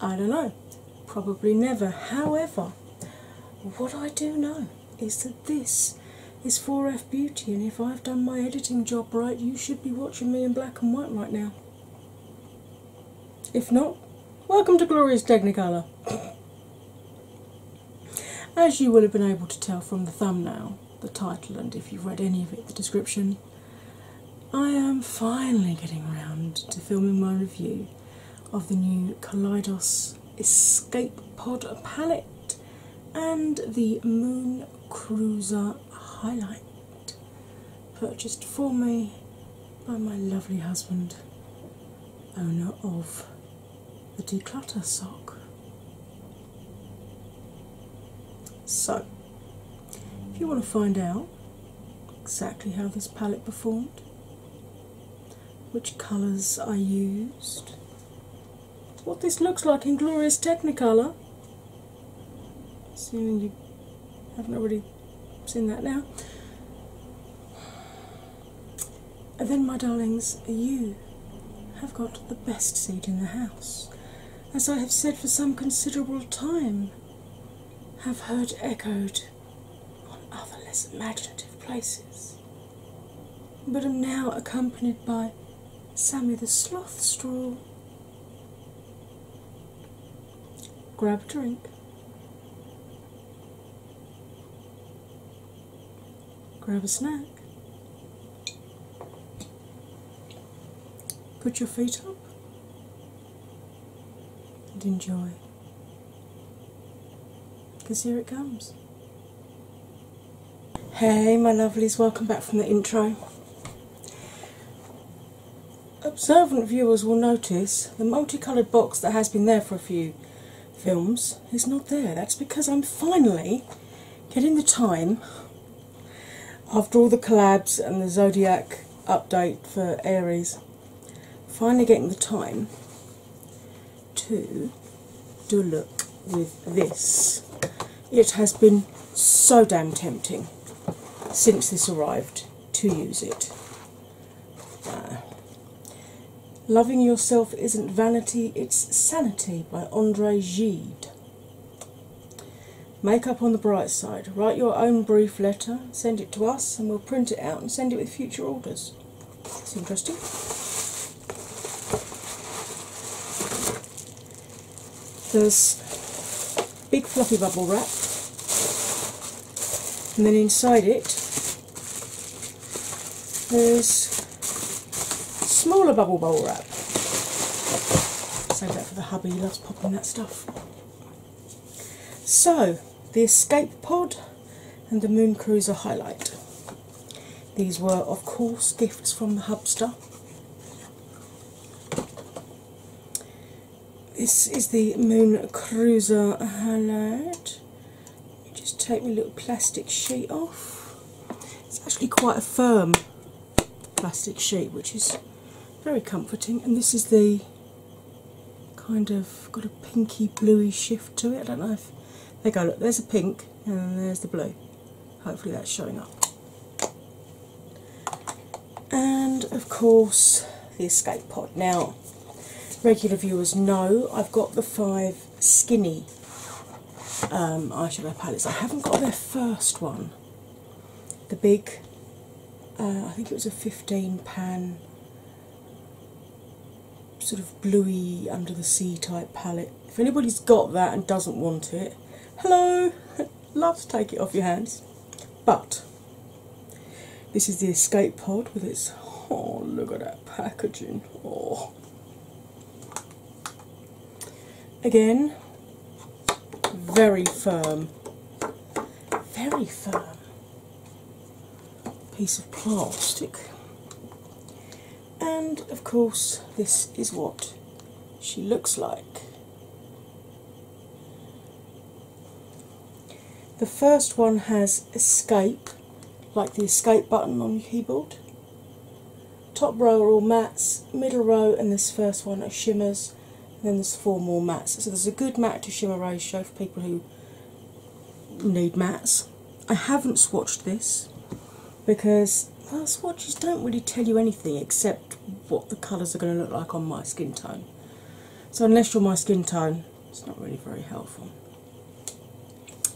I don't know, probably never. However, what I do know is that this is 4F Beauty, and if I've done my editing job right, you should be watching me in black and white right now. If not, welcome to Glorious Technicolor. As you will have been able to tell from the thumbnail, the title, and if you've read any of it, the description, I am finally getting around to filming my review of the new Kaleidos Escape Pod palette and the Moon Cruiser highlight, purchased for me by my lovely husband, owner of the Declutter Sock. So, if you want to find out exactly how this palette performed, which colours I used, what this looks like in glorious Technicolor, seeing you haven't already seen that now. And then, my darlings, you have got the best seat in the house. As I have said for some considerable time, have heard echoed on other less imaginative places, but am now accompanied by Sammy the Sloth Straw. Grab a drink. Grab a snack. Put your feet up and enjoy. Because here it comes. Hey, my lovelies, welcome back from the intro. Observant viewers will notice the multicoloured box that has been there for a few films is not there. That's because I'm finally getting the time after all the collabs and the Zodiac update for Aries. Finally, getting the time to do a look with this. It has been so damn tempting since this arrived to use it. Uh, loving Yourself Isn't Vanity, It's Sanity by Andre Gide. Make up on the bright side. Write your own brief letter, send it to us, and we'll print it out and send it with future orders. It's interesting. There's big fluffy bubble wrap, and then inside it there's smaller bubble bowl wrap. Save that for the hubby, he loves popping that stuff. So, the Escape Pod and the Moon Cruiser Highlight. These were, of course, gifts from the Hubster. This is the Moon Cruiser Highlight. Just take my little plastic sheet off. It's actually quite a firm plastic sheet, which is very comforting. And this is the kind of got a pinky bluey shift to it. I don't know if there you go. Look, there's a pink, and there's the blue. Hopefully that's showing up. And of course, the escape pod. Now, regular viewers know I've got the five skinny um, eyeshadow palettes. I haven't got their first one the big, uh, I think it was a 15 pan sort of bluey under the sea type palette. If anybody's got that and doesn't want it, hello! Love to take it off your hands. But this is the Escape Pod with its oh look at that packaging. Oh. Again, very firm, very firm piece of plastic. And of course, this is what she looks like. The first one has escape, like the escape button on your keyboard. Top row are all mattes, middle row and this first one are shimmers, then there's four more mats, So there's a good mat to shimmer ratio for people who need mats. I haven't swatched this because well, swatches don't really tell you anything except what the colours are going to look like on my skin tone. So unless you're my skin tone, it's not really very helpful.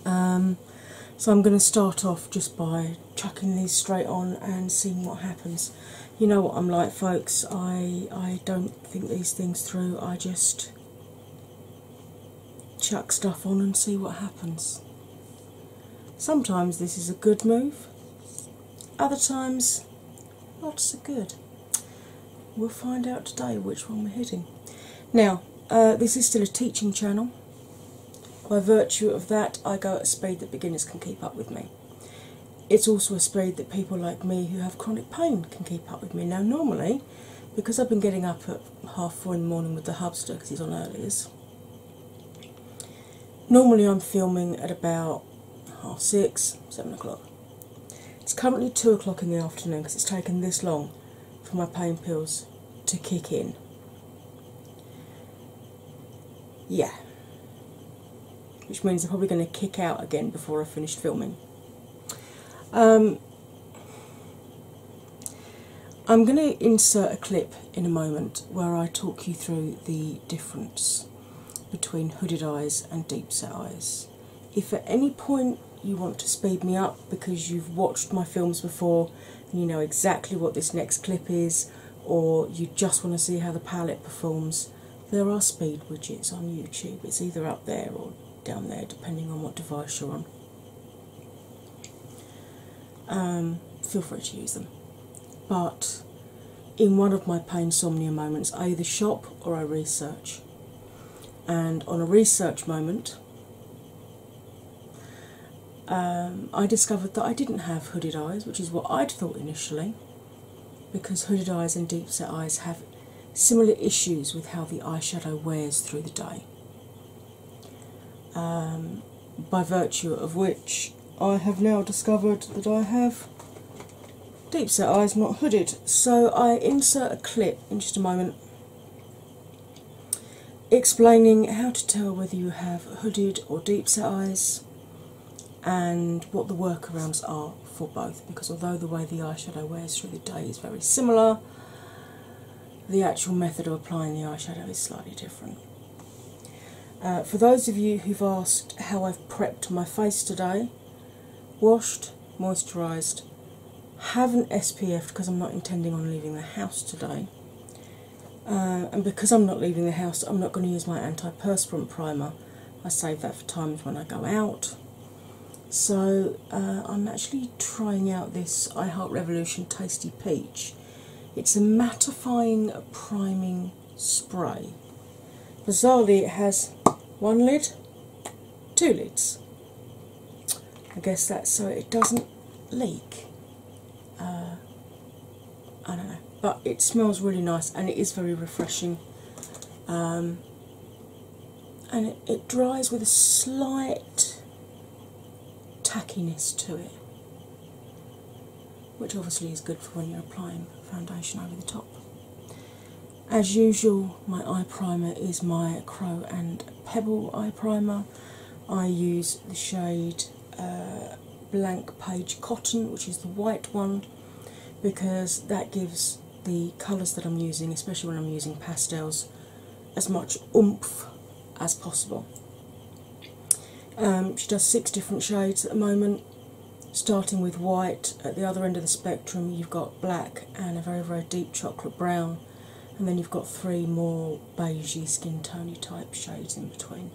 Um, so I'm going to start off just by chucking these straight on and seeing what happens you know what I'm like, folks. I I don't think these things through. I just chuck stuff on and see what happens. Sometimes this is a good move. Other times, not so good. We'll find out today which one we're hitting. Now, uh, this is still a teaching channel. By virtue of that, I go at a speed that beginners can keep up with me. It's also a speed that people like me who have chronic pain can keep up with me. Now, normally, because I've been getting up at half four in the morning with the hubster because he's on earliest, normally I'm filming at about half six, seven o'clock. It's currently two o'clock in the afternoon because it's taken this long for my pain pills to kick in. Yeah, which means I'm probably going to kick out again before I finish filming. Um, I'm going to insert a clip in a moment where I talk you through the difference between hooded eyes and deep set eyes. If at any point you want to speed me up because you've watched my films before you know exactly what this next clip is, or you just want to see how the palette performs, there are speed widgets on YouTube. It's either up there or down there, depending on what device you're on. Um, feel free to use them. But in one of my pain somnia moments, I either shop or I research. And on a research moment, um, I discovered that I didn't have hooded eyes, which is what I'd thought initially because hooded eyes and deep set eyes have similar issues with how the eye shadow wears through the day. Um, by virtue of which, I have now discovered that I have deep set eyes not hooded. So I insert a clip in just a moment explaining how to tell whether you have hooded or deep set eyes and what the workarounds are for both because although the way the eyeshadow wears through the day is very similar, the actual method of applying the eyeshadow is slightly different. Uh, for those of you who've asked how I've prepped my face today, washed, moisturised, haven't because I'm not intending on leaving the house today. Uh, and because I'm not leaving the house, I'm not going to use my antiperspirant primer I save that for times when I go out. So uh, I'm actually trying out this I Heart Revolution Tasty Peach. It's a mattifying priming spray. Bizarrely, it has one lid, two lids. I guess that's so it doesn't leak. Uh, I don't know but it smells really nice and it is very refreshing. Um, and it, dries with a slight tackiness to it, which obviously is good for when you're applying foundation over the top. As usual, my eye primer is my Crow and Pebble eye primer. I use the shade uh, Blank Page Cotton, which is the white one, because that gives the colours that I'm using, especially when I'm using pastels, as much oomph as possible. Um, she does six different shades at the moment, starting with white. At the other end of the spectrum, you've got black and a very, very deep chocolate brown, and then you've got three more beigey, skin tony type shades in between.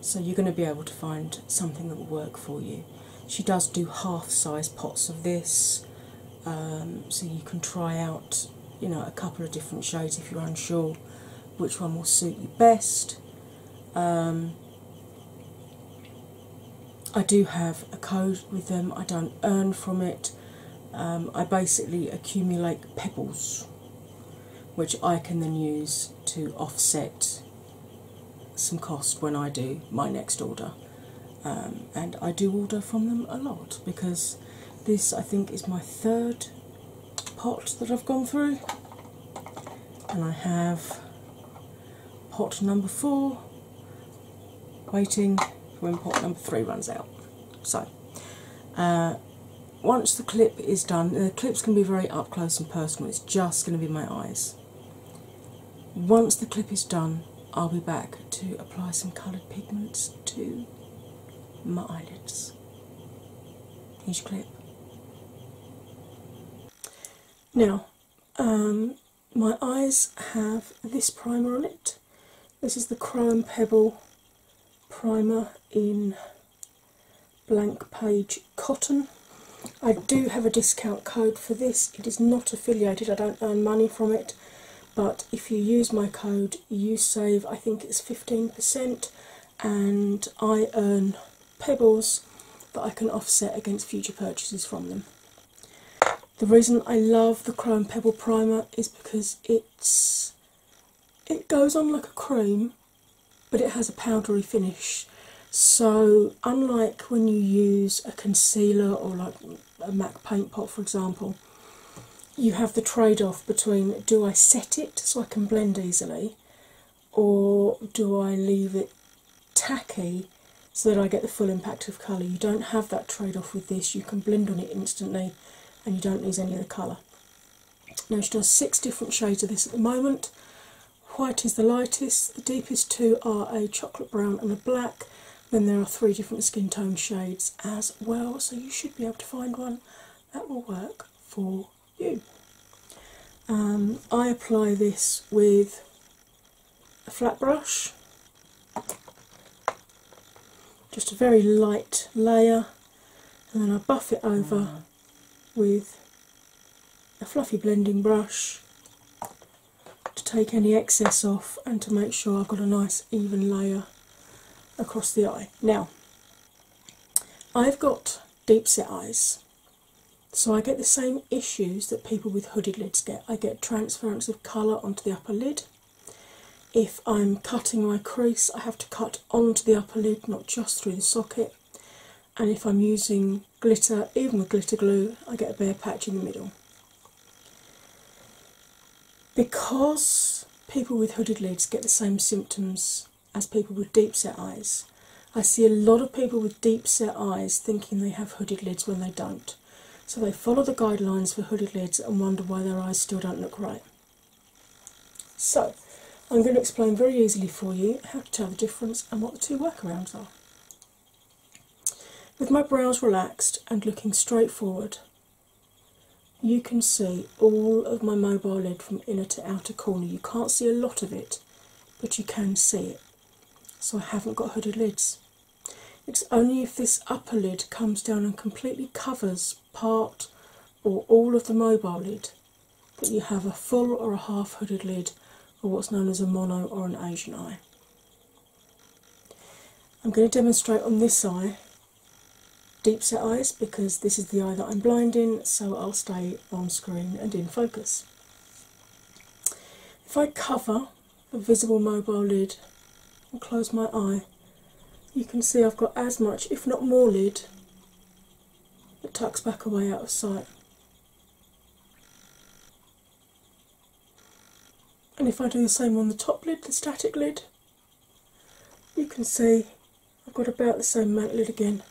So you're going to be able to find something that will work for you. She does do half size pots of this, um, so you can try out you know a couple of different shades if you're unsure which one will suit you best. Um, I do have a code with them, I don't earn from it. Um, I basically accumulate pebbles which I can then use to offset some cost when I do my next order. Um, and I do order from them a lot because this, I think, is my third pot that I've gone through, and I have pot number four waiting for when pot number three runs out. So, uh, once the clip is done, the clips can be very up close and personal, it's just going to be my eyes. Once the clip is done, I'll be back to apply some coloured pigments to my eyelids. Each clip. Now, um, my eyes have this primer on it. This is the Chrome Pebble primer in blank page Cotton. I do have a discount code for this. It is not affiliated, I don't earn money from it, but if you use my code, you save I think it's 15%, and I earn pebbles that I can offset against future purchases from them. The reason I love the Chrome Pebble Primer is because it's it goes on like a cream but it has a powdery finish. So, unlike when you use a concealer or like a MAC paint pot, for example, you have the trade off between do I set it so I can blend easily, or do I leave it tacky so that I get the full impact of colour? You don't have that trade off with this, you can blend on it instantly and you don't lose any of the colour. Now, she does six different shades of this at the moment. White is the lightest, the deepest two are a chocolate brown and a black. Then there are three different skin tone shades as well, so you should be able to find one that will work for you. Um, I apply this with a flat brush, just a very light layer, and then I buff it over mm. with a fluffy blending brush to take any excess off and to make sure I've got a nice even layer across the eye. Now, I've got deep set eyes, so I get the same issues that people with hooded lids get. I get transference of colour onto the upper lid. If I'm cutting my crease, I have to cut onto the upper lid, not just through the socket. And if I'm using glitter, even with glitter glue, I get a bare patch in the middle. Because people with hooded lids get the same symptoms as people with deep set eyes, I see a lot of people with deep set eyes thinking they have hooded lids when they don't. So they follow the guidelines for hooded lids and wonder why their eyes still don't look right. So, I'm going to explain very easily for you how to tell the difference and what the two workarounds are. With my brows relaxed and looking straight forward, you can see all of my mobile lid from inner to outer corner. You can't see a lot of it, but you can see it. So I haven't got hooded lids. It's only if this upper lid comes down and completely covers part or all of the mobile lid that you have a full or a half hooded lid or what's known as a mono or an Asian eye. I'm going to demonstrate on this eye deep set eyes because this is the eye that I'm blind in, so I'll stay on screen and in focus. If I cover the visible mobile lid and close my eye, you can see I've got as much, if not more, lid that tucks back away out of sight. And if I do the same on the top lid, the static lid, you can see I've got about the same amount lid again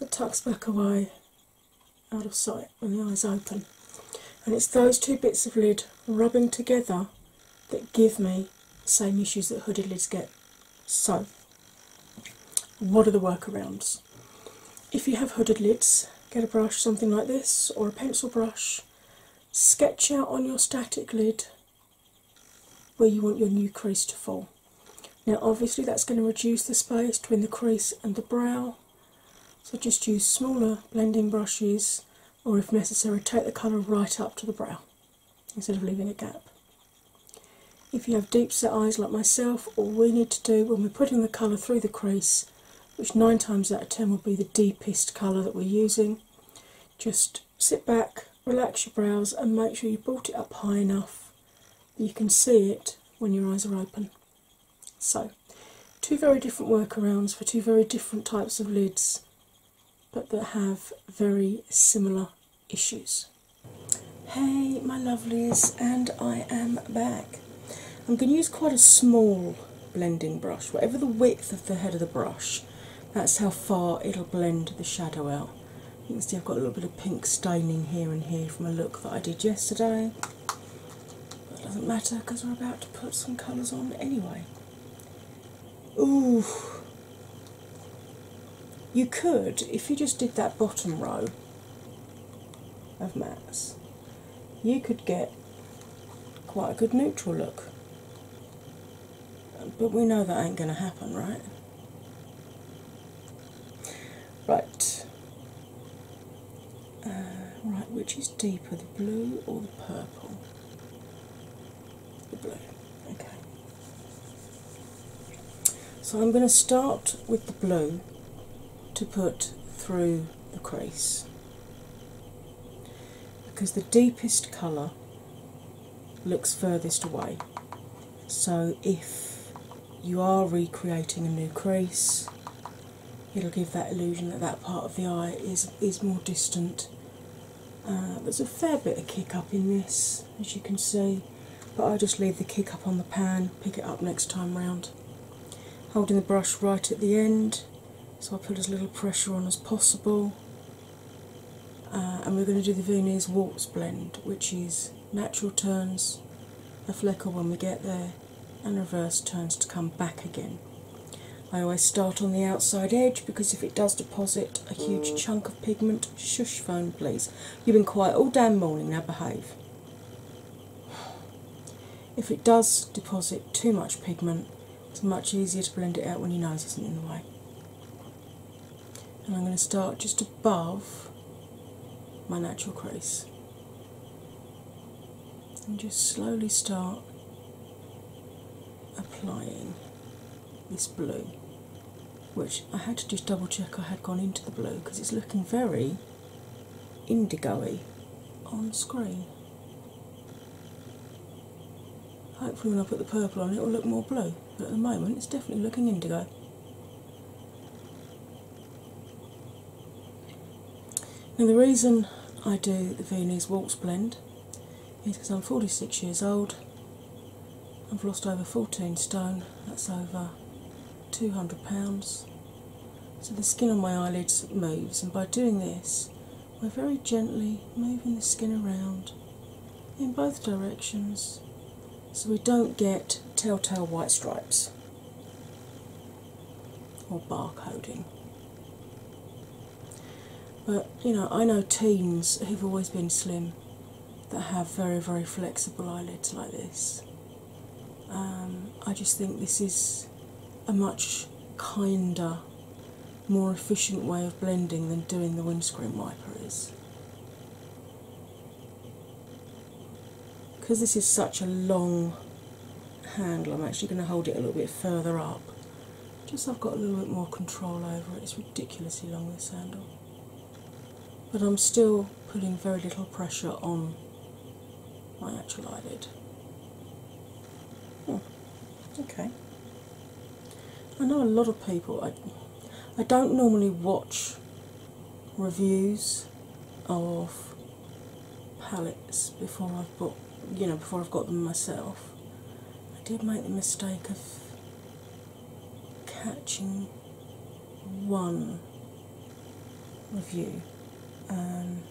It tucks back away out of sight when the eyes open. And it's those two bits of lid rubbing together that give me the same issues that hooded lids get. So, what are the workarounds? If you have hooded lids, get a brush, something like this, or a pencil brush, sketch out on your static lid where you want your new crease to fall. Now, obviously, that's going to reduce the space between the crease and the brow, so just use smaller blending brushes, or if necessary, take the colour right up to the brow instead of leaving a gap. If you have deep set eyes like myself, all we need to do when we're putting the colour through the crease, which nine times out of ten will be the deepest colour that we're using, just sit back, relax your brows, and make sure you brought it up high enough that you can see it when your eyes are open. So, two very different workarounds for two very different types of lids, but that have very similar issues. Hey, my lovelies, and I am back. I'm going to use quite a small blending brush, whatever the width of the head of the brush, that's how far it'll blend the shadow out. You can see I've got a little bit of pink staining here and here from a look that I did yesterday. But it doesn't matter because we're about to put some colours on anyway. Ooh. You could, if you just did that bottom row, of mattes, you could get quite a good neutral look. But we know that ain't going to happen, right? Right. Uh, right, which is deeper, the blue or the purple? The blue, okay. So I'm going to start with the blue to put through the crease because the deepest colour looks furthest away. So, if you are recreating a new crease, it'll give that illusion that that part of the eye is, is more distant. Uh, there's a fair bit of kick up in this, as you can see but I just leave the kick up on the pan, pick it up next time round. Holding the brush right at the end, so I put as little pressure on as possible. Uh, and we're going to do the Viennese Waltz blend, which is natural turns, a flicker when we get there, and reverse turns to come back again. I always start on the outside edge because if it does deposit a huge mm. chunk of pigment, shush phone please. You've been quiet all damn morning, now behave. If it does deposit too much pigment, it's much easier to blend it out when your nose isn't in the way. And I'm going to start just above my natural crease and just slowly start applying this blue, which I had to just double check I had gone into the blue because it's looking very indigoy on screen. Hopefully, when I put the purple on, it will look more blue, but at the moment, it's definitely looking indigo. Now, the reason I do the Viennese Waltz blend is because I'm 46 years old, I've lost over 14 stone, that's over £200. So the skin on my eyelids moves, and by doing this, we're very gently moving the skin around in both directions so we don't get telltale white stripes or barcoding. But you know, I know teens who've always been slim that have very, very flexible eyelids like this. Um, I just think this is a much kinder, more efficient way of blending than doing the windscreen wiper is. Because this is such a long handle, I'm actually going to hold it a little bit further up. Just I've got a little bit more control over it. It's ridiculously long this handle. But I'm still putting very little pressure on my actual eyelid. Oh, okay. I know a lot of people. I, I don't normally watch reviews of palettes before I've bought, you know, before I've got them myself. I did make the mistake of catching one review um,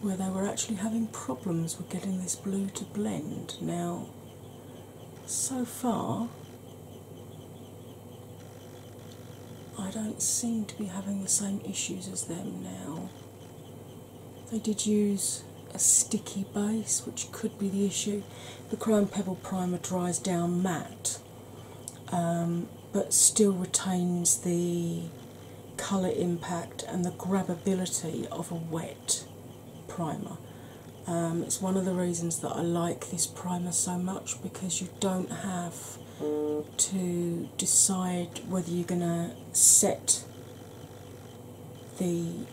where they were actually having problems with getting this blue to blend. Now, so far, I don't seem to be having the same issues as them now. They did use a sticky base, which could be the issue. The Chrome Pebble Primer dries down matte, um, but still retains the colour impact and the grabbability of a wet primer. Um, it's one of the reasons that I like this primer so much because you don't have to decide whether you're going to set the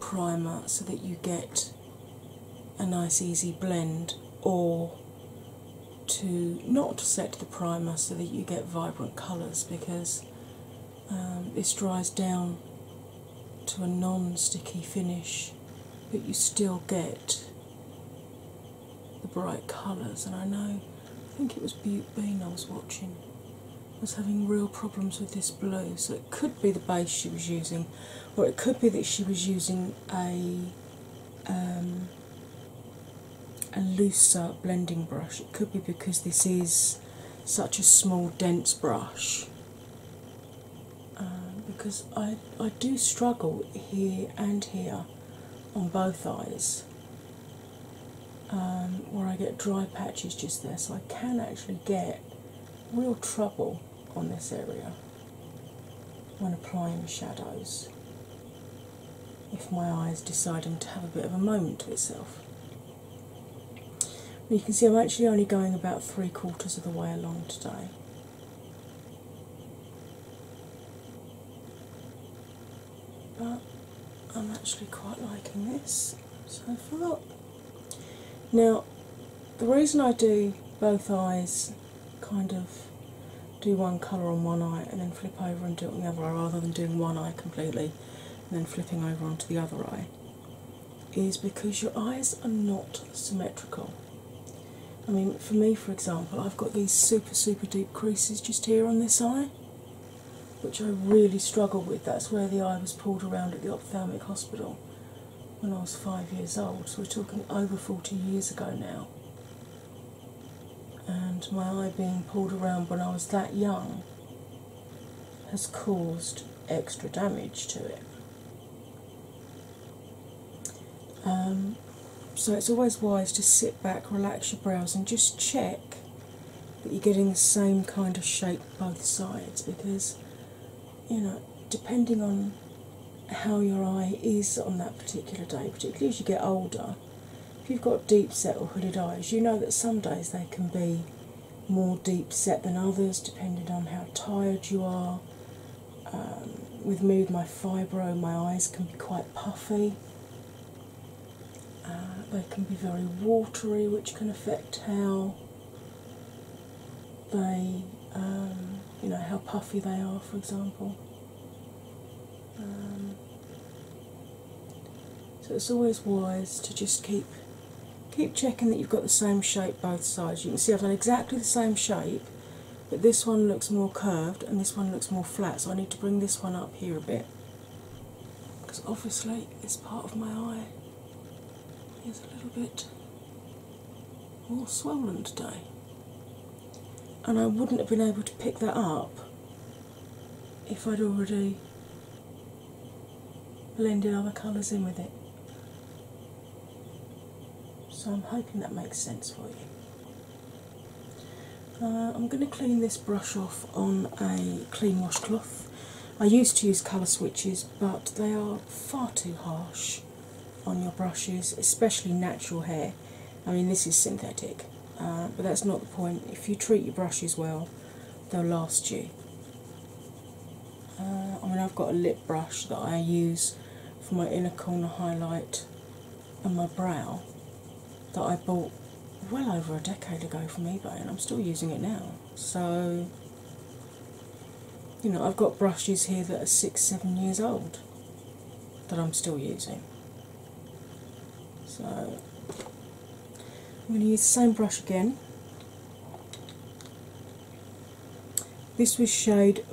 primer so that you get a nice easy blend or to not set the primer so that you get vibrant colours because um, this dries down to a non sticky finish, but you still get the bright colours. And I know, I think it was Butte Bean I was watching, was having real problems with this blue, so it could be the base she was using, or it could be that she was using a. Um, a looser blending brush. It could be because this is such a small, dense brush. Um, because I, I do struggle here and here on both eyes um, where I get dry patches just there, so I can actually get real trouble on this area when applying shadows if my eye is deciding to have a bit of a moment to itself. you can see I'm actually only going about three quarters of the way along today. But I'm actually quite liking this so far. Now, the reason I do both eyes kind of do one colour on one eye and then flip over and do it on the other eye rather than doing one eye completely and then flipping over onto the other eye is because your eyes are not symmetrical. I mean, for me, for example, I've got these super, super deep creases just here on this eye, which I really struggle with. That's where the eye was pulled around at the ophthalmic hospital when I was five years old, so we're talking over 40 years ago now and my eye being pulled around when I was that young has caused extra damage to it. Um, so it's always wise to sit back, relax your brows, and just check that you're getting the same kind of shape both sides because you know, depending on how your eye is on that particular day, particularly as you get older. If you've got deep set or hooded eyes, you know that some days they can be more deep set than others, depending on how tired you are. Um, with mood, my fibro, my eyes can be quite puffy. Uh, they can be very watery, which can affect how they, um, you know, how puffy they are, for example. Um, so it's always wise to just keep keep checking that you've got the same shape both sides. You can see I've got exactly the same shape, but this one looks more curved and this one looks more flat. So I need to bring this one up here a bit because obviously this part of my eye is a little bit more swollen today and I wouldn't have been able to pick that up if I'd already blended other colours in with it. So I'm hoping that makes sense for you. Uh, I'm going to clean this brush off on a clean wash cloth. I used to use colour switches, but they are far too harsh on your brushes, especially natural hair. I mean, this is synthetic, uh, but that's not the point. If you treat your brushes well, they'll last you. Uh, I mean, I've got a lip brush that I use for my inner corner highlight and my brow that I bought well over a decade ago from eBay, and I'm still using it now. So, you know, I've got brushes here that are six, seven years old that I'm still using. So I'm going to use the same brush again. This was shade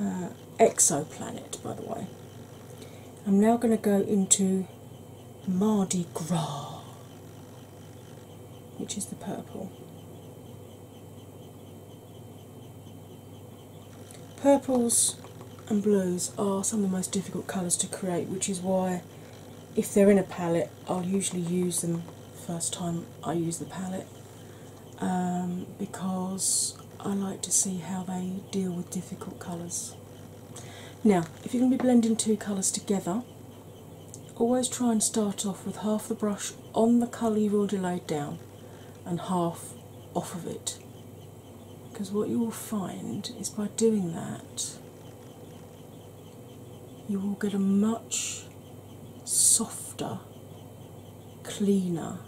uh, Exoplanet, by the way. I'm now going to go into Mardi Gras, which is the purple. Purples and blues are some of the most difficult colours to create, which is why, if they're in a palette, I'll usually use them first time I use the palette um, because I like to see how they deal with difficult colours. Now, if you're going to be blending two colours together, always try and start off with half the brush on the colour you've to lay down and half off of it. Because what you will find is by doing that, you will get a much softer, cleaner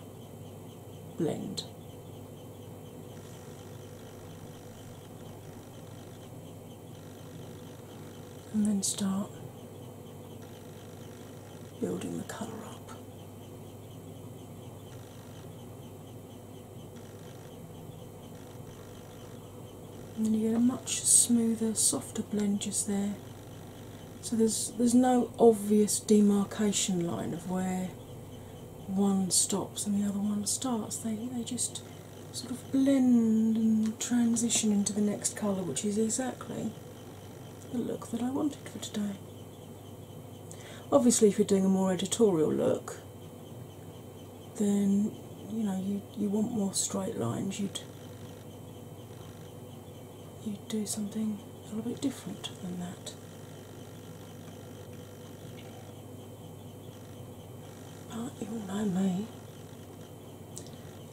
blend. And then start building the colour up. And then you get a much smoother, softer blend just there. So there's there's no obvious demarcation line of where one stops and the other one starts. They they just sort of blend and transition into the next colour, which is exactly the look that I wanted for today. Obviously, if you're doing a more editorial look, then you know you you want more straight lines. You'd you'd do something a little bit different than that. But you all know me.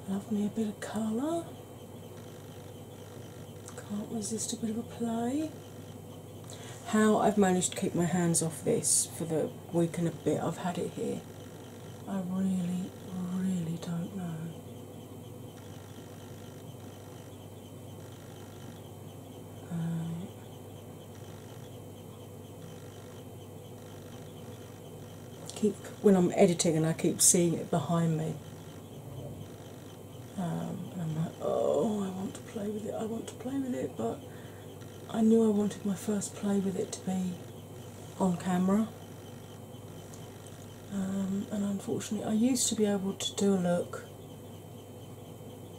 Love me a bit of colour. Can't resist a bit of a play. How I've managed to keep my hands off this for the week and a bit I've had it here, I really, really don't know. Um, keep when I'm editing and I keep seeing it behind me. Um, and I'm like, oh, I want to play with it, I want to play with it, but I knew I wanted my first play with it to be on camera. Um, and unfortunately, I used to be able to do a look,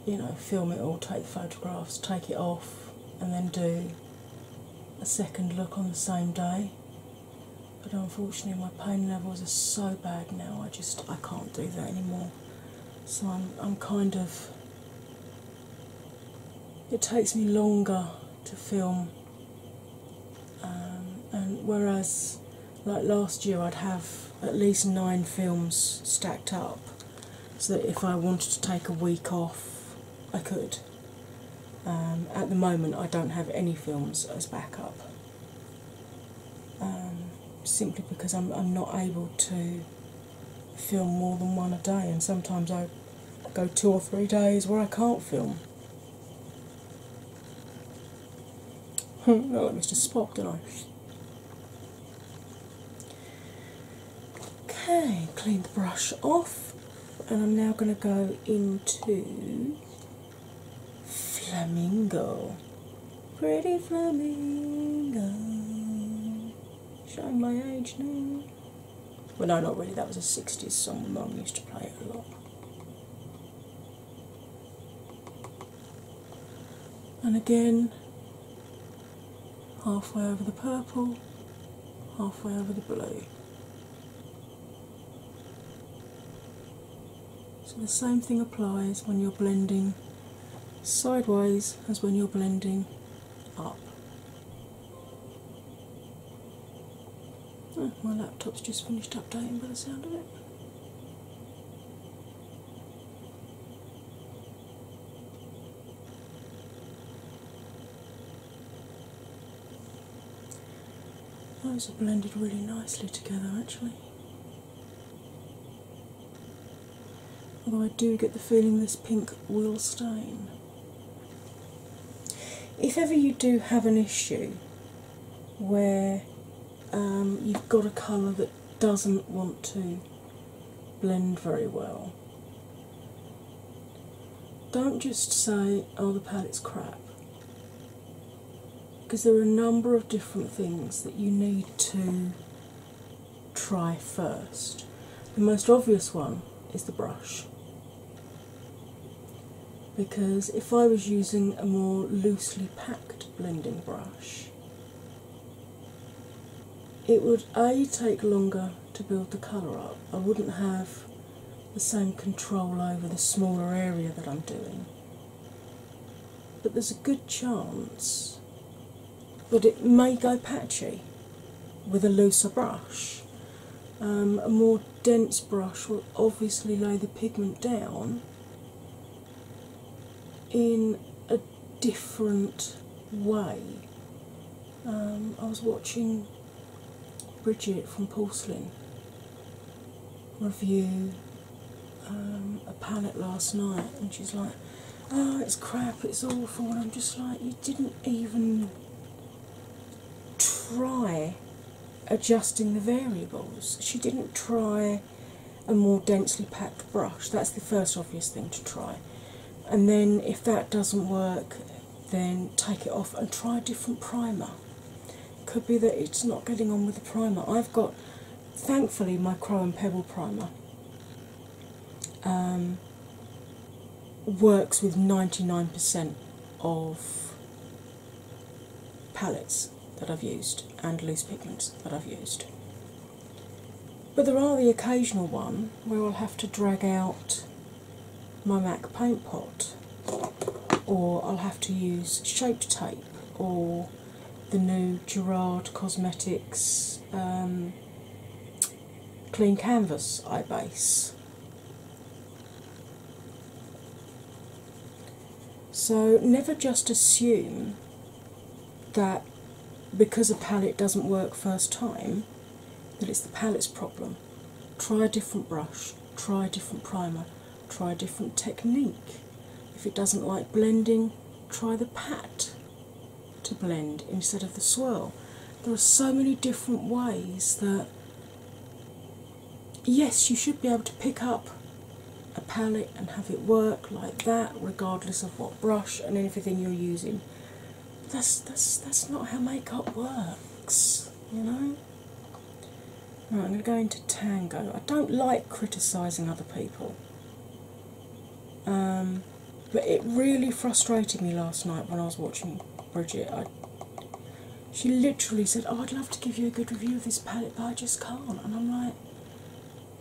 you know, film it all, take photographs, take it off, and then do a second look on the same day but unfortunately my pain levels are so bad now I just I can't do that anymore. So I'm I'm kind of it takes me longer to film um, and whereas like last year I'd have at least nine films stacked up so that if I wanted to take a week off I could. Um, at the moment I don't have any films as backup. Um, simply because I'm, not able to film more than one a day, and sometimes I go two or three days where I can't film. I look like Mr. Spock, don't I? Okay, clean the brush off, and I'm now going to go into Flamingo. Pretty flamingo. Showing my age now. Well, no, not really. That was a 60s song. Mum used to play it a lot. And again, halfway over the purple, halfway over the blue. So the same thing applies when you're blending sideways as when you're blending up. Oh, my laptop's just finished updating by the sound of it. Those are blended really nicely together actually. Although I do get the feeling this pink will stain. If ever you do have an issue where um, you've got a colour that doesn't want to blend very well, don't just say, oh, the palette's crap because there are a number of different things that you need to try first. The most obvious one is the brush. Because if I was using a more loosely packed blending brush, it would A take longer to build the colour up. I wouldn't have the same control over the smaller area that I'm doing but there's a good chance that it may go patchy with a looser brush. Um, a more dense brush will obviously lay the pigment down in a different way. Um, I was watching Bridget from Porcelain review um, a palette last night, and she's like, "Oh, it's crap, it's awful," and I'm just like, "You didn't even try adjusting the variables. She didn't try a more densely packed brush. That's the first obvious thing to try." And then, if that doesn't work, then take it off and try a different primer. Could be that it's not getting on with the primer. I've got thankfully, my Chrome Pebble primer um, works with 99% of palettes that I've used and loose pigments that I've used. But there are the occasional one where I'll have to drag out my MAC paint pot or I'll have to use shape tape or the new Gerard Cosmetics um, Clean Canvas Eye Base. So, never just assume that because a palette doesn't work first time, that it's the palette's problem. Try a different brush, try a different primer, try a different technique. If it doesn't like blending, try the pat to blend instead of the swirl. There are so many different ways that, yes, you should be able to pick up a palette and have it work like that, regardless of what brush and everything you're using. that's that's that's not how makeup works, you know. I'm going to go into Tango. I don't like criticising other people, um, but it really frustrated me last night when I was watching Bridget. she literally said, oh, I'd love to give you a good review of this palette, but I just can't." And I'm like,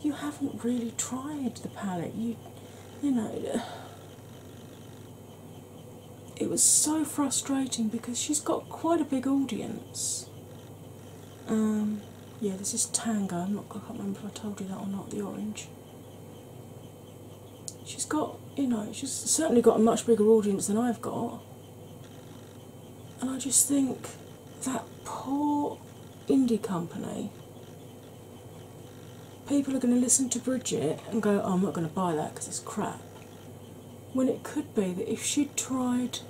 "You haven't really tried the palette. You, you know." It was so frustrating because she's got quite a big audience. Um, yeah, this is Tango. I'm not, I can't remember if I told you that or not. The orange. She's got, you know, she's certainly got a much bigger audience than I've got. And I just think that poor indie company, people are going to listen to Bridget and go, oh, I'm not going to buy that because it's crap. When it could be that if she'd tried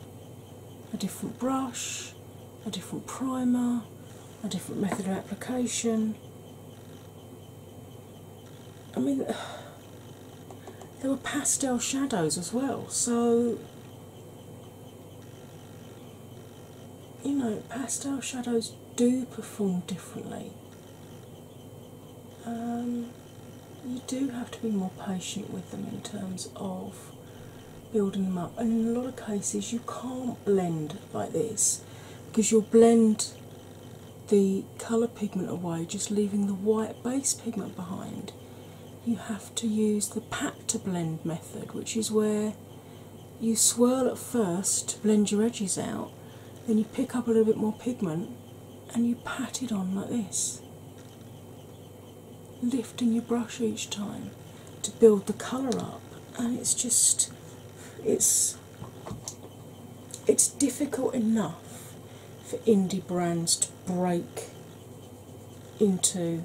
a different brush, a different primer, a different method of application. I mean, there were pastel shadows as well, so you know, pastel shadows do perform differently. Um, you do have to be more patient with them in terms of building them up. And in a lot of cases, you can't blend like this because you'll blend the colour pigment away, just leaving the white base pigment behind. You have to use the pat to blend method, which is where you swirl at first to blend your edges out, then you pick up a little bit more pigment and you pat it on like this lifting your brush each time to build the colour up and it's just it's it's difficult enough for indie brands to break into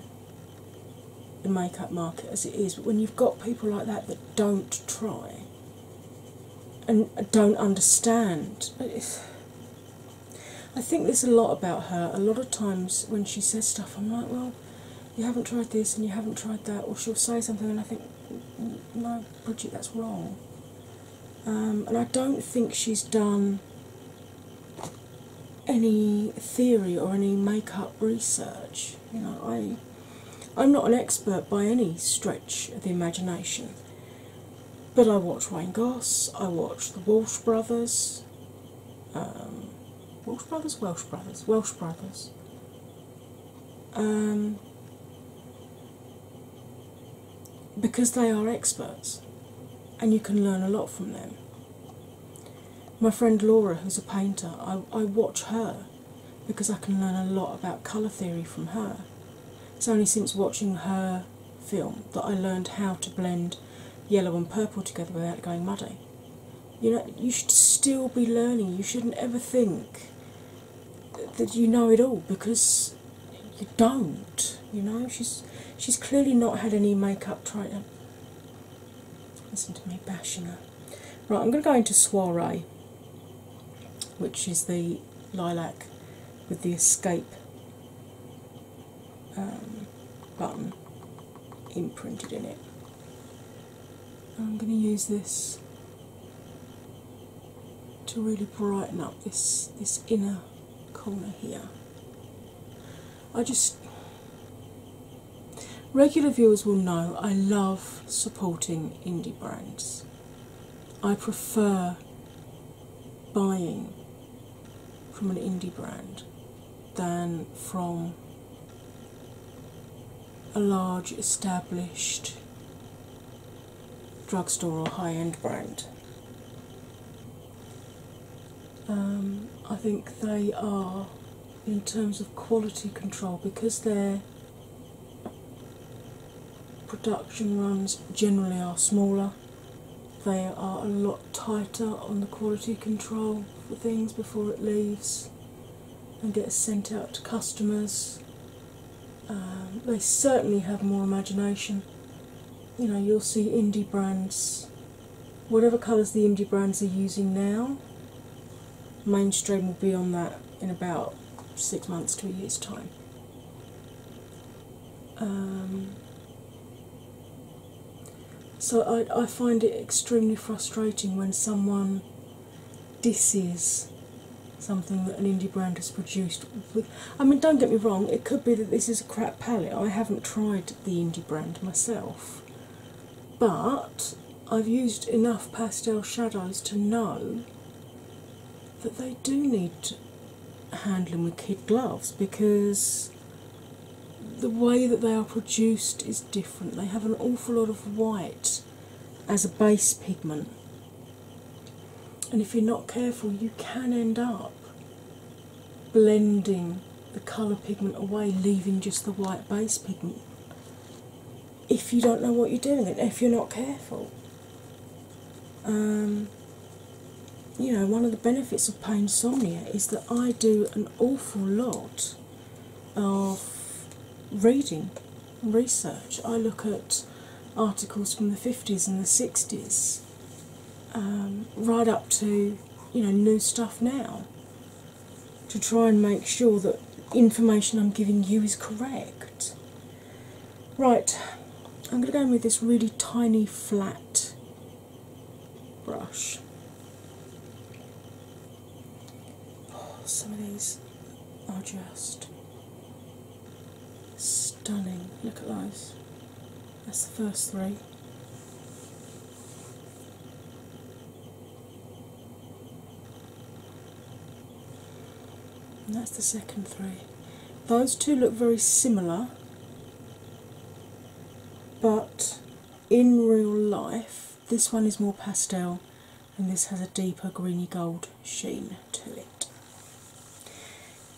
the makeup market as it is, but when you've got people like that that don't try and don't understand, it's, I think there's a lot about her. A lot of times when she says stuff, I'm like, well, you haven't tried this and you haven't tried that, or she'll say something and I think, no, Bridget, that's wrong. Um, and I don't think she's done any theory or any makeup research. You know, I. I'm not an expert by any stretch of the imagination, but I watch Wayne Goss, I watch the Walsh Brothers, Brothers. Um, Walsh Brothers, Welsh Brothers, Welsh Brothers. Um, because they are experts and you can learn a lot from them. My friend Laura, who's a painter, I, I watch her because I can learn a lot about colour theory from her. It's only since watching her film that I learned how to blend yellow and purple together without going muddy. You know, you should still be learning. You shouldn't ever think that you know it all because you don't. You know, she's she's clearly not had any makeup tried. Out. Um, listen to me bashing her. Right, I'm going to go into Soiree, which is the lilac with the escape um, button imprinted in it. I'm going to use this to really brighten up this this inner corner here. I just regular viewers will know I love supporting indie brands. I prefer buying from an indie brand than from a large established drugstore or high end brand. Um, I think they are, in terms of quality control, because their production runs generally are smaller, they are a lot tighter on the quality control for things before it leaves and gets sent out to customers. Um, they certainly have more imagination. You know, you'll see indie brands, whatever colours the indie brands are using now, mainstream will be on that in about six months to a year's time. Um, so I, find it extremely frustrating when someone disses something that an indie brand has produced. I mean, don't get me wrong, it could be that this is a crap palette. I haven't tried the indie brand myself. But I've used enough pastel shadows to know that they do need handling with kid gloves because the way that they are produced is different. They have an awful lot of white as a base pigment, and if you're not careful, you can end up blending the colour pigment away, leaving just the white base pigment. If you don't know what you're doing, and if you're not careful, um, you know, one of the benefits of pain somnia is that I do an awful lot of reading research. I look at articles from the 50s and the 60s, um, right up to you know, new stuff now, to try and make sure that information I'm giving you is correct. Right, I'm going to go in with this really tiny flat brush. some of these are just stunning. Look at those. That's the first three. that's the second three. Those two look very similar, but in real life, this one is more pastel and this has a deeper greeny gold sheen to it.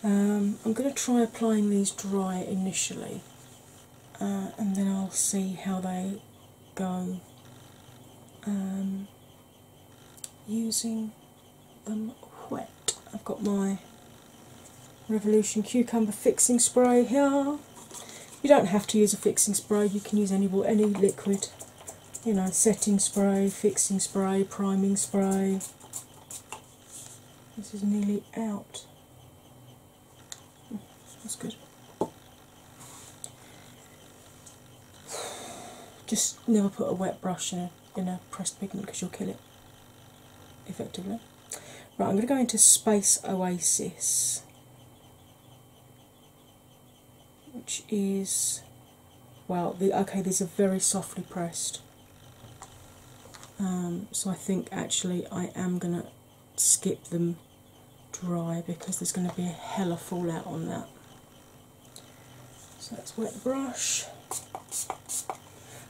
Um, I'm going to try applying these dry initially uh, and then I'll see how they go um, using them wet. I've got my Revolution Cucumber Fixing Spray here. You don't have to use a fixing spray, you can use any, any liquid. You know, setting spray, fixing spray, priming spray. This is nearly out. Hmm, that's good. Just never put a wet brush in a, in a pressed pigment because you'll kill it effectively. Right, I'm going to go into Space Oasis, which is well, the, okay, these are very softly pressed. Um, so I think actually I am going to skip them dry because there's going to be a hell of fallout on that. So that's wet brush.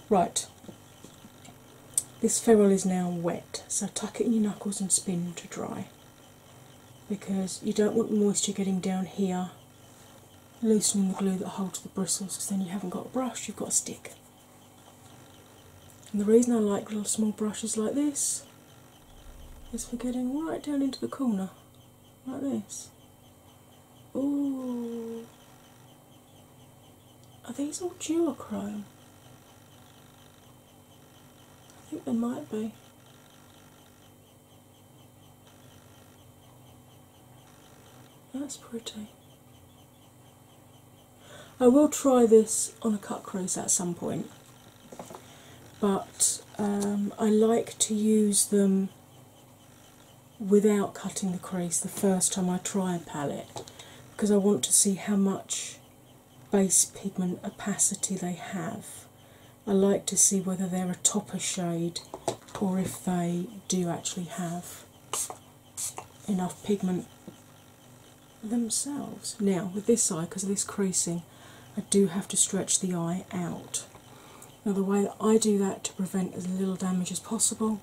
Right, this ferrule is now wet, so tuck it in your knuckles and spin to dry because you don't want moisture getting down here, loosening the glue that holds the bristles because then you haven't got a brush, you've got a stick. And the reason I like little small brushes like this is for getting right down into the corner, like this. Ooh. Are these all duochrome? I think they might be. That's pretty. I will try this on a cut crease at some point, but um, I like to use them without cutting the crease the first time I try a palette because I want to see how much base pigment opacity they have. I like to see whether they're a topper shade or if they do actually have enough pigment themselves. Now, with this eye, because of this creasing, I do have to stretch the eye out. Now, the way that I do that to prevent as little damage as possible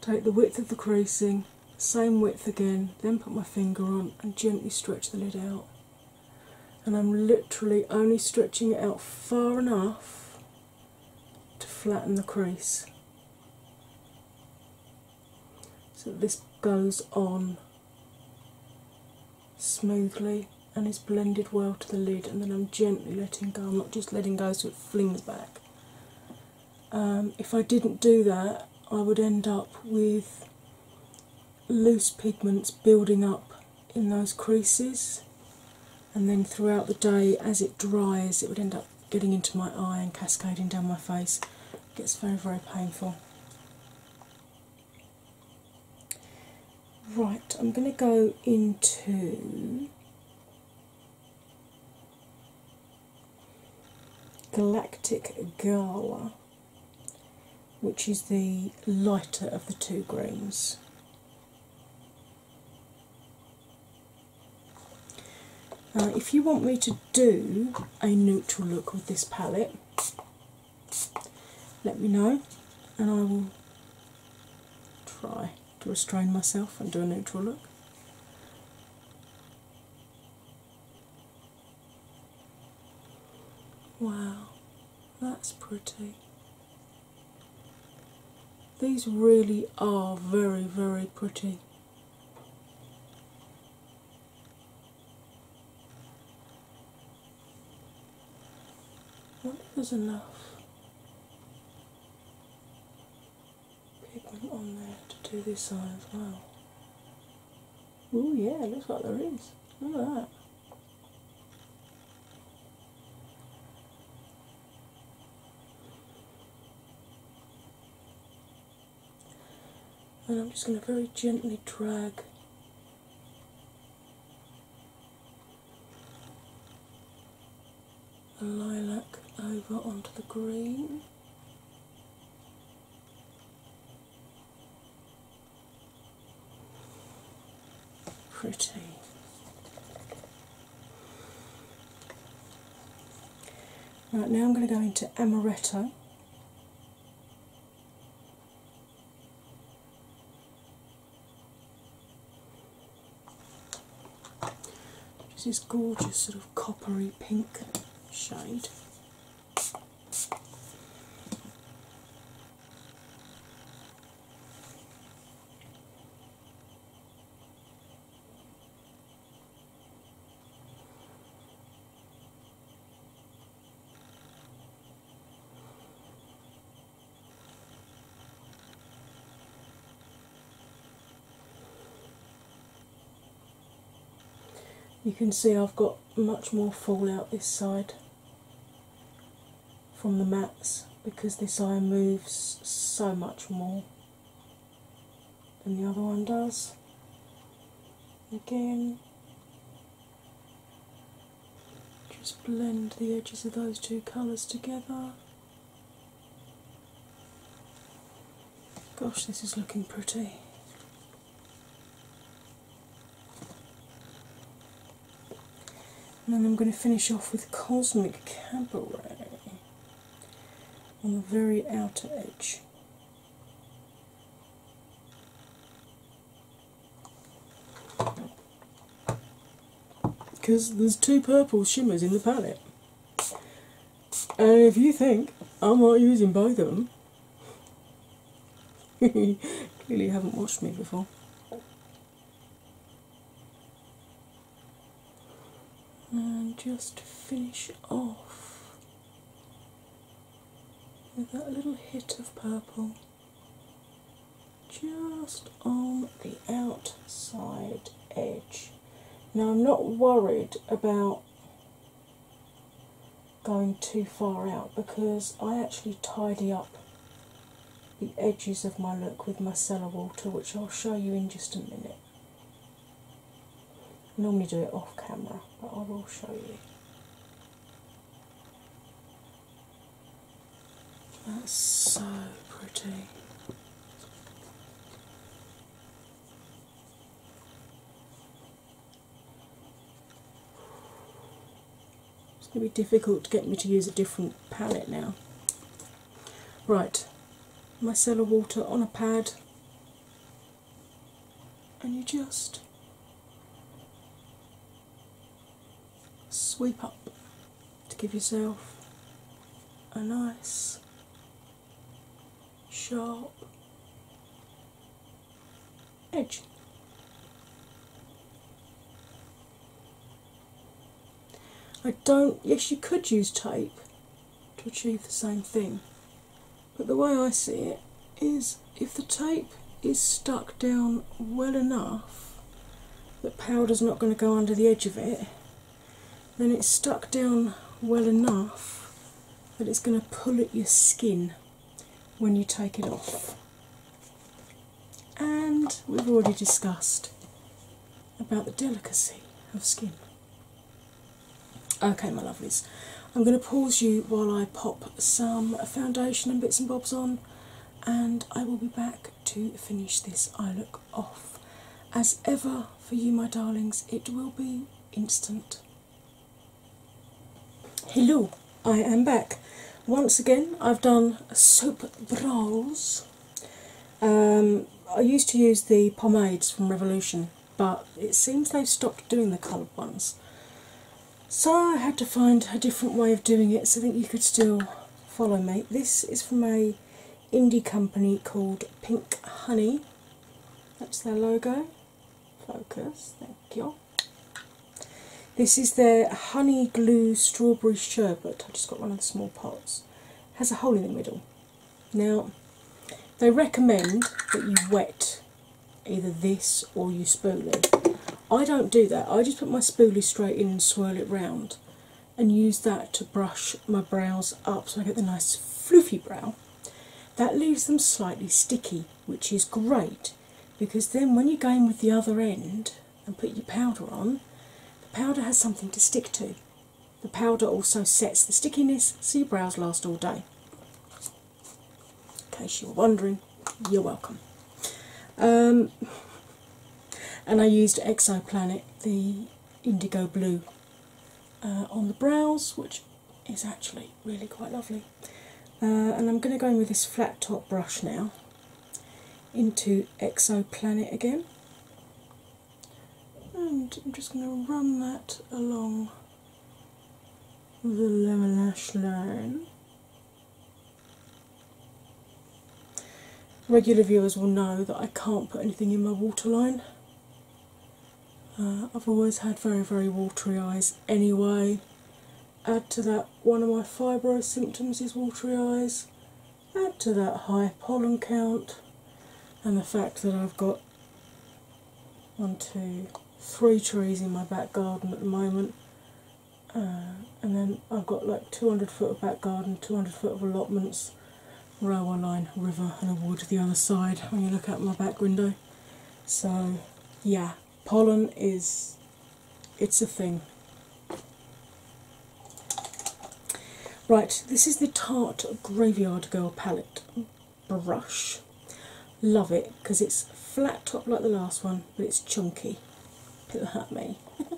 Take the width of the creasing, same width again, then put my finger on and gently stretch the lid out. And I'm literally only stretching it out far enough to flatten the crease. So that this goes on smoothly and is blended well to the lid, and then I'm gently letting go. I'm not just letting go so it flings back. Um, if I didn't do that, I would end up with loose pigments building up in those creases, and then throughout the day, as it dries, it would end up getting into my eye and cascading down my face. It gets very, very painful. Right, I'm going to go into Galactic Gala, which is the lighter of the two greens. Uh, if you want me to do a neutral look with this palette, let me know and I will try to restrain myself and do a neutral look. Wow, that's pretty. These really are very, very pretty. I wonder enough pigment on there to do this side as well. Oh yeah, looks like there is. Look at that. And I'm just going to very gently drag the lilac over onto the green. Pretty. Right now I'm going to go into amaretto. This is gorgeous sort of coppery pink shade. You can see I've got much more fallout this side from the mats because this eye moves so much more than the other one does. Again, just blend the edges of those two colours together. Gosh, this is looking pretty. And then I'm going to finish off with Cosmic Cabaret on the very outer edge. Because there's two purple shimmers in the palette. And if you think I'm not using both of them, clearly you haven't watched me before. And just finish off with that little hit of purple just on the outside edge. Now I'm not worried about going too far out because I actually tidy up the edges of my look with micellar water, which I'll show you in just a minute. normally do it off camera, but I will show you. That's so pretty. It's going to be difficult to get me to use a different palette now. Right, micellar water on a pad, and you just sweep up to give yourself a nice sharp edge. I don't, yes, you could use tape to achieve the same thing, but the way I see it is if the tape is stuck down well enough that powder's not going to go under the edge of it, then it's stuck down well enough that it's going to pull at your skin when you take it off. And we've already discussed about the delicacy of skin. Okay, my lovelies, I'm going to pause you while I pop some foundation and bits and bobs on, and I will be back to finish this eye look off. As ever for you, my darlings, it will be instant. Hello, I am back. Once again, I've done soap brawls. Um, I used to use the pomades from Revolution, but it seems they've stopped doing the coloured ones. So I had to find a different way of doing it so that you could still follow me. This is from a indie company called Pink Honey. That's their logo. Focus, thank you. This is their Honey Glue Strawberry Sherbet. I just got one of the small pots. It has a hole in the middle. Now, they recommend that you wet either this or you spoolie. I don't do that. I just put my spoolie straight in and swirl it round and use that to brush my brows up so I get the nice fluffy brow, that leaves them slightly sticky, which is great because then when you go in with the other end and put your powder on, the powder has something to stick to. The powder also sets the stickiness so your brows last all day. In case you were wondering, you're welcome. Um, and I used Exoplanet, the indigo blue uh, on the brows, which is actually really quite lovely. Uh, and I'm going to go in with this flat top brush now into Exoplanet again, and I'm just going to run that along the lower lash line. Regular viewers will know that I can't put anything in my waterline uh, I've always had very, very watery eyes anyway. Add to that one of my fibro symptoms is watery eyes. Add to that high pollen count and the fact that I've got one, two, three trees in my back garden at the moment. Uh, and then I've got like 200 foot of back garden, 200 foot of allotments, row line, river, and a wood the other side when you look out my back window. So, yeah, pollen is it's a thing. Right, this is the Tart Graveyard Girl palette brush. Love it because it's flat top like the last one, but it's chunky. It'll hurt me.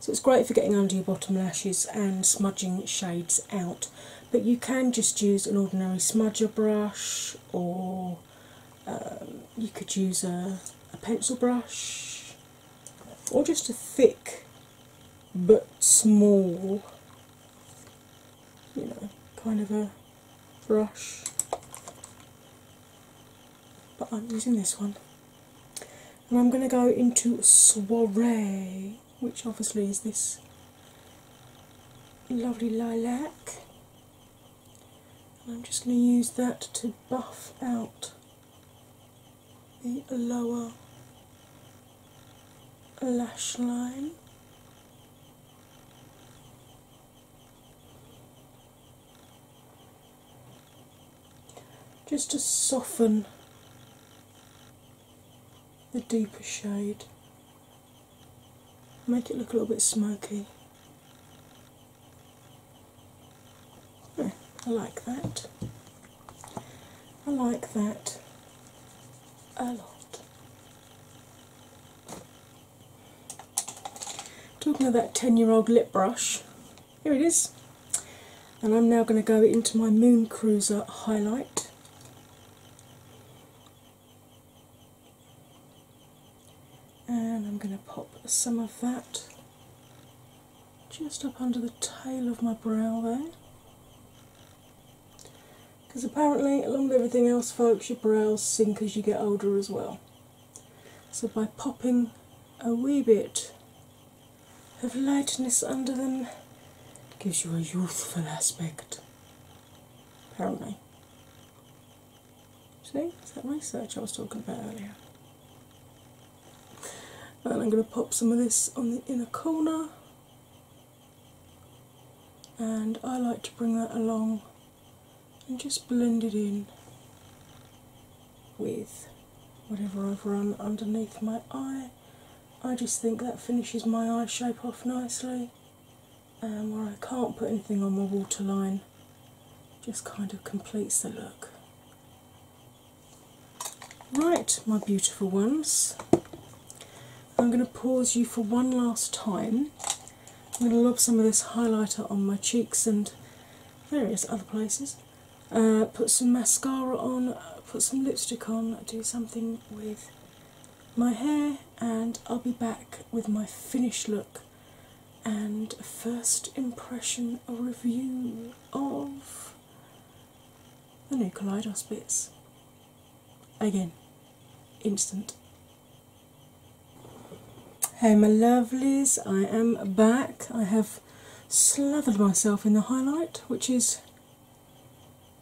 so it's great for getting under your bottom lashes and smudging shades out but you can just use an ordinary smudger brush, or um, you could use a, pencil brush, or just a thick but small, you know, kind of a brush. But I'm using this one. And I'm going to go into a Soiree which obviously is this lovely lilac. And I'm just going to use that to buff out the lower lash line. Just to soften the deeper shade, make it look a little bit smoky. I like that. I like that a lot. Talking of that 10 year old lip brush, here it is. And I'm now going to go into my Moon Cruiser highlight and I'm going to pop some of that just up under the tail of my brow there. Because apparently, along with everything else, folks, your brows sink as you get older as well. So by popping a wee bit of lightness under them. gives you a youthful aspect. Apparently. See, that research I was talking about earlier? And I'm going to pop some of this on the inner corner, and I like to bring that along and just blend it in with whatever I've run underneath my eye I just think that finishes my eye shape off nicely. And um, where I can't put anything on my waterline, just kind of completes the look. Right, my beautiful ones, I'm going to pause you for one last time. I'm going to lob some of this highlighter on my cheeks and various other places. Uh, put some mascara on, uh, put some lipstick on, do something with my hair, and I'll be back with my finished look and a first impression a review of the new Kaleidos bits. Again, instant. Hey, my lovelies, I am back. I have slathered myself in the highlight, which is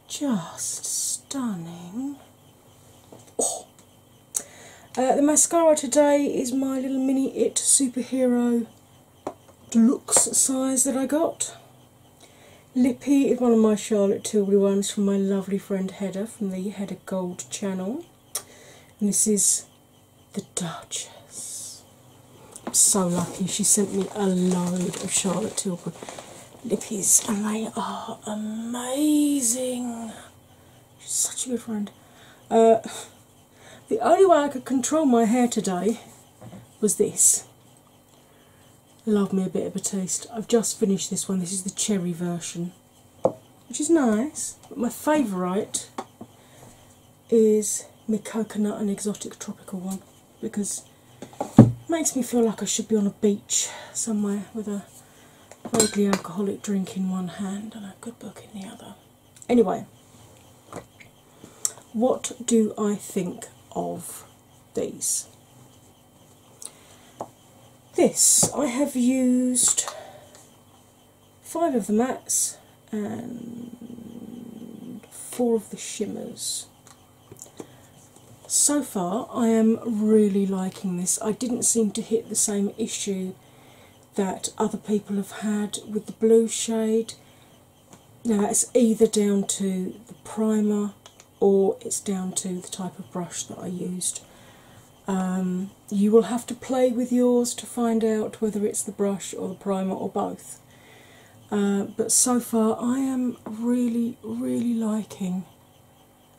just stunning. Oh. Uh, the mascara today is my little mini It Superhero Deluxe size that I got. Lippy is one of my Charlotte Tilbury ones from my lovely friend Hedda from the Hedda Gold channel. And this is the Duchess. so lucky she sent me a load of Charlotte Tilbury lippies, and they are amazing. such a good friend. Uh, the only way I could control my hair today was this. Love me a bit of a taste. I've just finished this one. This is the cherry version, which is nice. But my favourite is my coconut and exotic tropical one because it makes me feel like I should be on a beach somewhere with a vaguely alcoholic drink in one hand and a good book in the other. Anyway, what do I think of these? This I have used five of the mattes and four of the shimmers so far, I am really liking this. I didn't seem to hit the same issue that other people have had with the blue shade. Now, that's either down to the primer or it's down to the type of brush that I used. Um, you will have to play with yours to find out whether it's the brush or the primer or both. Uh, but so far, I am really, really liking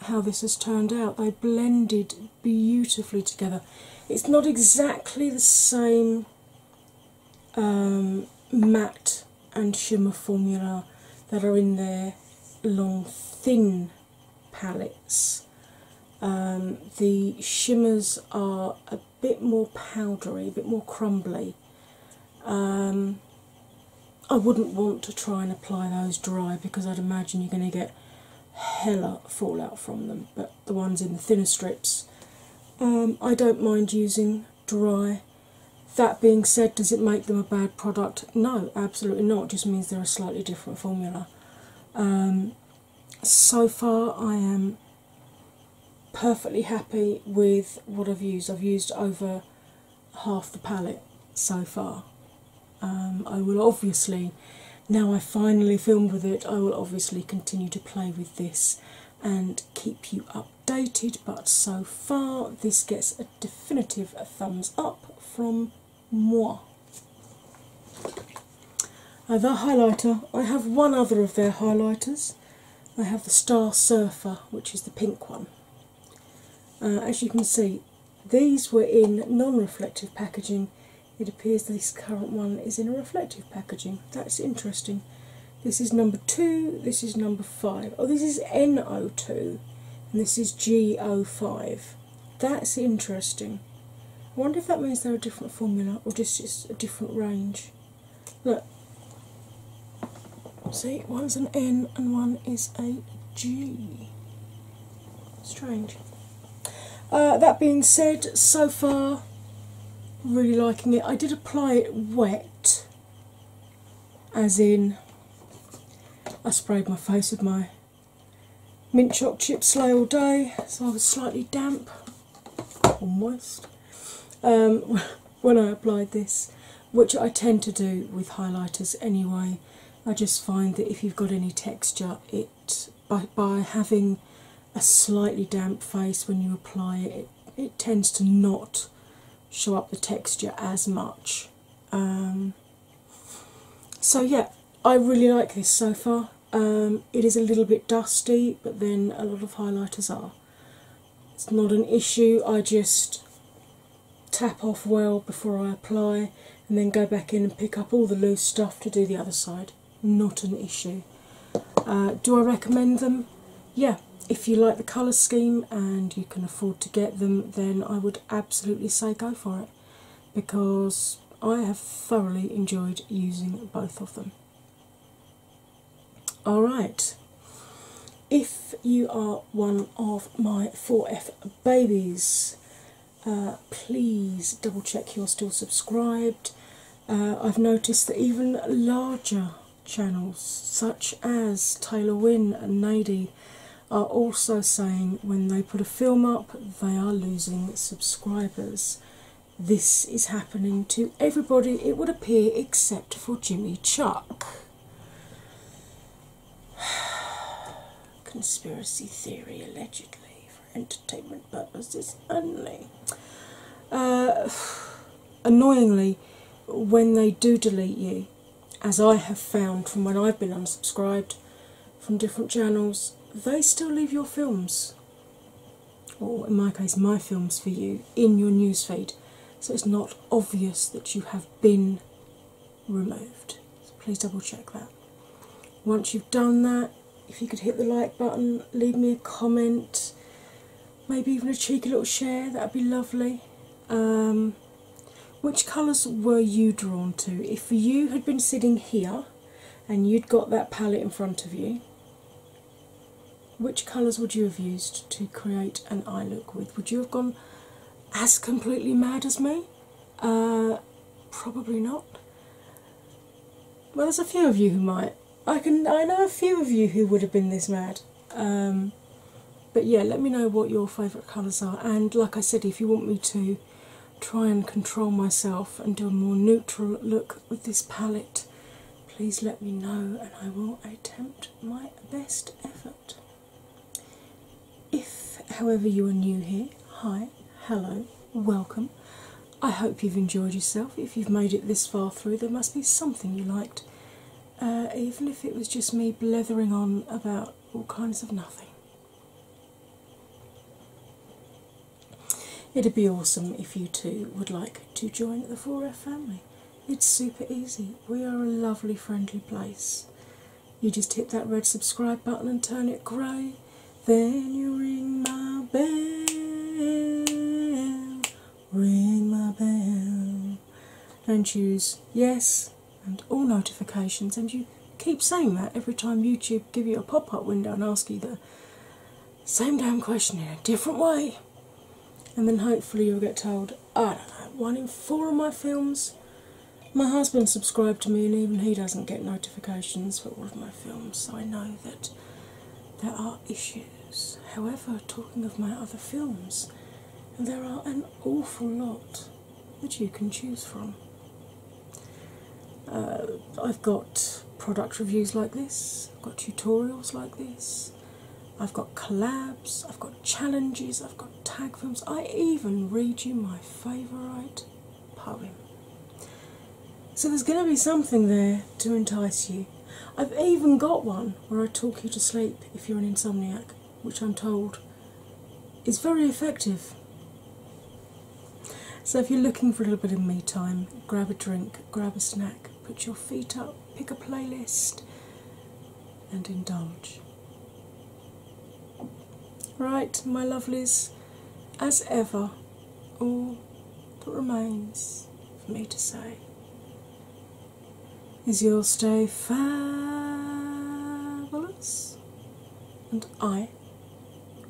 how this has turned out. They blended beautifully together. It's not exactly the same um, matte and shimmer formula that are in their long, thin palettes. Um, the shimmers are a bit more powdery, a bit more crumbly, um, I wouldn't want to try and apply those dry because I'd imagine you're going to get hella fallout from them, but the ones in the thinner strips, um, I don't mind using dry. That being said, does it make them a bad product? No, absolutely not. It just means they're a slightly different formula. Um, so far, I am perfectly happy with what I've used. I've used over half the palette so far. Um, I will obviously, now I finally filmed with it, I will obviously continue to play with this and keep you updated. But so far, this gets a definitive thumbs up from moi. Uh, the highlighter, I have one other of their highlighters. I have the Star Surfer, which is the pink one. Uh, as you can see, these were in non reflective packaging. It appears this current one is in a reflective packaging. That's interesting. This is number two, this is number five. Oh, this is NO2 and this is GO5. That's interesting. I wonder if that means they're a different formula or just, just a different range. Look, see, one's an N and one is a G. Strange. Uh, that being said, so far, really liking it. I did apply it wet, as in, I sprayed my face with my mint choc chip slay all day, so I was slightly damp, almost. when I applied this, which I tend to do with highlighters anyway. I just find that if you've got any texture, it by, by having a slightly damp face when you apply it, it, tends to not show up the texture as much. Um, so, yeah, I really like this so far. Um, it is a little bit dusty, but then a lot of highlighters are it's not an issue. I just tap off well before I apply and then go back in and pick up all the loose stuff to do the other side. Not an issue. Uh, do I recommend them? Yeah, if you like the colour scheme and you can afford to get them, then I would absolutely say go for it because I have thoroughly enjoyed using both of them. Alright, if you are one of my 4F babies, uh, please double check you're still subscribed. Uh, I've noticed that even larger channels, such as Taylor Wynn and Nadi, are also saying when they put a film up they are losing subscribers. This is happening to everybody, it would appear, except for Jimmy Chuck. Conspiracy theory allegedly for entertainment purposes only. Uh, annoyingly, when they do delete you, as I have found from when I've been unsubscribed from different channels, they still leave your films, or in my case, my films for you, in your newsfeed so it's not obvious that you have been removed. So please double check that. Once you've done that, if you could hit the like button, leave me a comment, maybe even a cheeky little share, that'd be lovely. Um, which colours were you drawn to? If you had been sitting here and you'd got that palette in front of you, which colours would you have used to create an eye look with? Would you have gone as completely mad as me? Uh, probably not. Well, there's a few of you who might. I can. I know a few of you who would have been this mad. Um, but yeah, let me know what your favourite colours are. And like I said, if you want me to try and control myself and do a more neutral look with this palette, please let me know, and I will attempt my best effort. If, however, you are new here, hi, hello, welcome. I hope you've enjoyed yourself. If you've made it this far through, there must be something you liked, uh, even if it was just me blathering on about all kinds of nothing. It'd be awesome if you two would like to join the 4F family. It's super easy. We are a lovely, friendly place. You just hit that red subscribe button and turn it grey. Then you ring my bell, ring my bell, and choose yes and all notifications. And you keep saying that every time YouTube give you a pop-up window and ask you the same damn question in a different way and then hopefully you'll get told, I don't know, one in four of my films. My husband subscribed to me, and even he doesn't get notifications for all of my films, so I know that there are issues. However, talking of my other films, there are an awful lot that you can choose from. Uh, I've got product reviews like this, I've got tutorials like this, I've got collabs, I've got challenges, I've got tag films. I even read you my favourite poem. So there's going to be something there to entice you. I've even got one where I talk you to sleep if you're an insomniac, which I'm told is very effective. So if you're looking for a little bit of me time, grab a drink, grab a snack, put your feet up, pick a playlist, and indulge. Right, my lovelies, as ever, all that remains for me to say is you'll stay fabulous, and I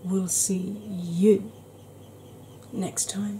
will see you next time.